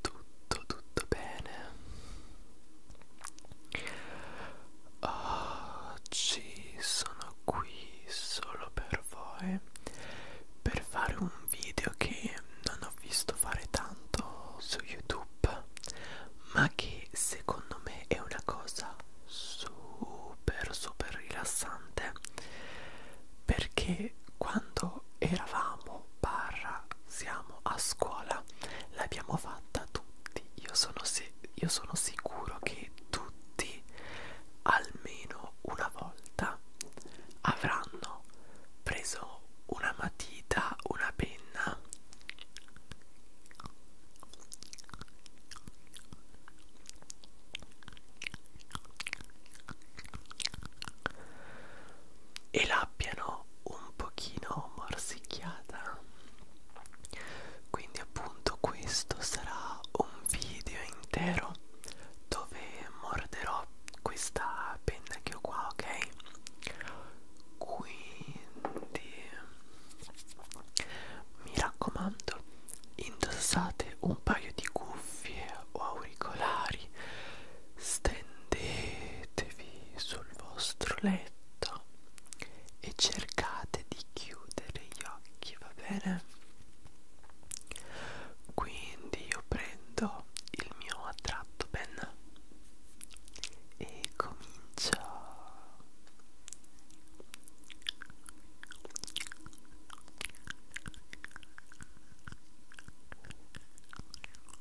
tutto tutto bene oggi sono qui solo per voi per fare un video che non ho visto fare tanto su youtube ma che secondo me è una cosa super super rilassante perché quando eravamo barra siamo a scuola l'abbiamo fatta tutti io sono, io sono sicuro che tutti almeno una volta avranno preso una matita una penna e l'abbiano un pochino morsicchiata quindi appunto questo sarà un video intero dove morderò questa penna che ho qua ok quindi mi raccomando indossate un paio di cuffie o auricolari vostri stendetevi sul vostro letto e cercate di chiudere gli occhi va bene quindi io prendo il mio attratto penna e comincio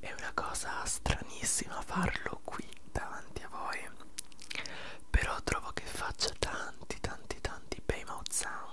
È una cosa stranissima farlo qui davanti a voi me però trovo che faccia tanti tanti tanti bei mouth sounds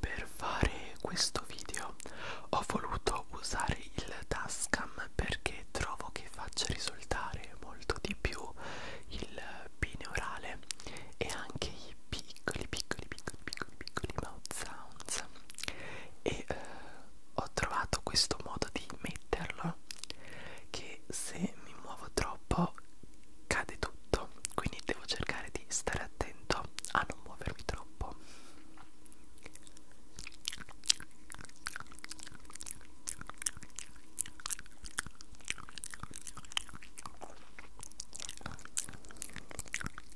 Per fare questo video ho voluto usare il Tascam perché trovo che faccia risultare molto di più il pine orale e anche i piccoli piccoli piccoli piccoli piccoli mouth sounds e eh, ho trovato questo modo di metterlo che se mi muovo troppo cade tutto quindi devo cercare di stare attento a non muovermi troppo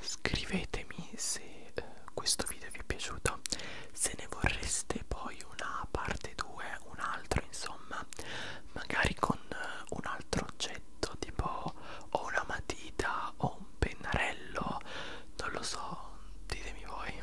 scrivetemi se eh, questo video vi è piaciuto se ne vorreste poi una parte 2 un altro insomma magari con eh, un altro oggetto tipo o una matita o un pennarello non lo so ditemi voi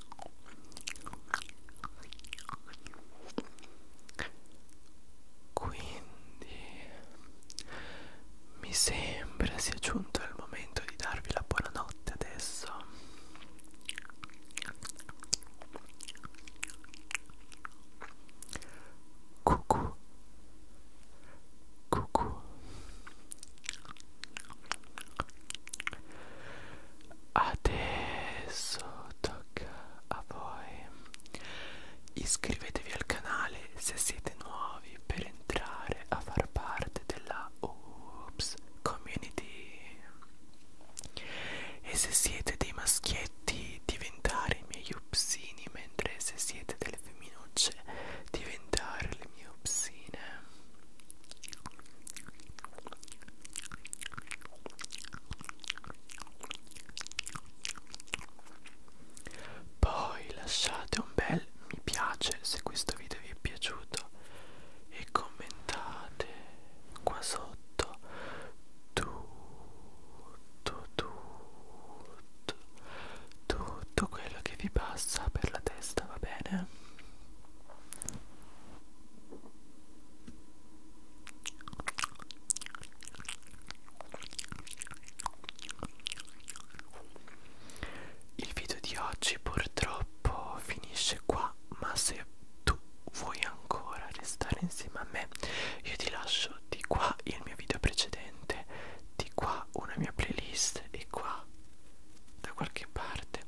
Quindi mi sembra sia giunto il momento di darvi la buonanotte adesso. Cucù. Cucù. Adesso tocca a voi. Iscrivetevi al canale se siete nuovi per entrare a far parte della Oops Community. E se siete dei maschietti diventare i miei upsini, mentre se siete delle femminucce diventare le mie upsine. Poi lasciate un bel mi piace se questo video vi è piaciuto e commentate qua sotto tutto, tutto, tutto quello che vi passa per la testa, va bene? Il video di oggi purtroppo finisce qua, ma se tu vuoi ancora restare insieme a me, io ti lascio di qua il mio video precedente, di qua una mia playlist e qua da qualche parte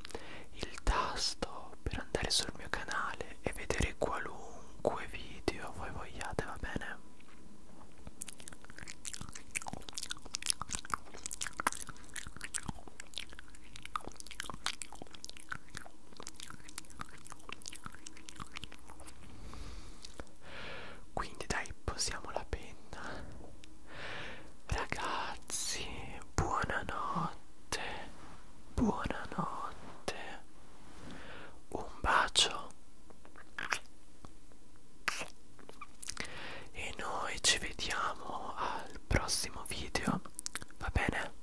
il tasto per andare sul mio canale e vedere qualunque video voi vogliate, va bene? Quindi dai, posiamo la penna. Ragazzi, Buonanotte, buonanotte. Un bacio. E noi ci vediamo al prossimo video, va bene?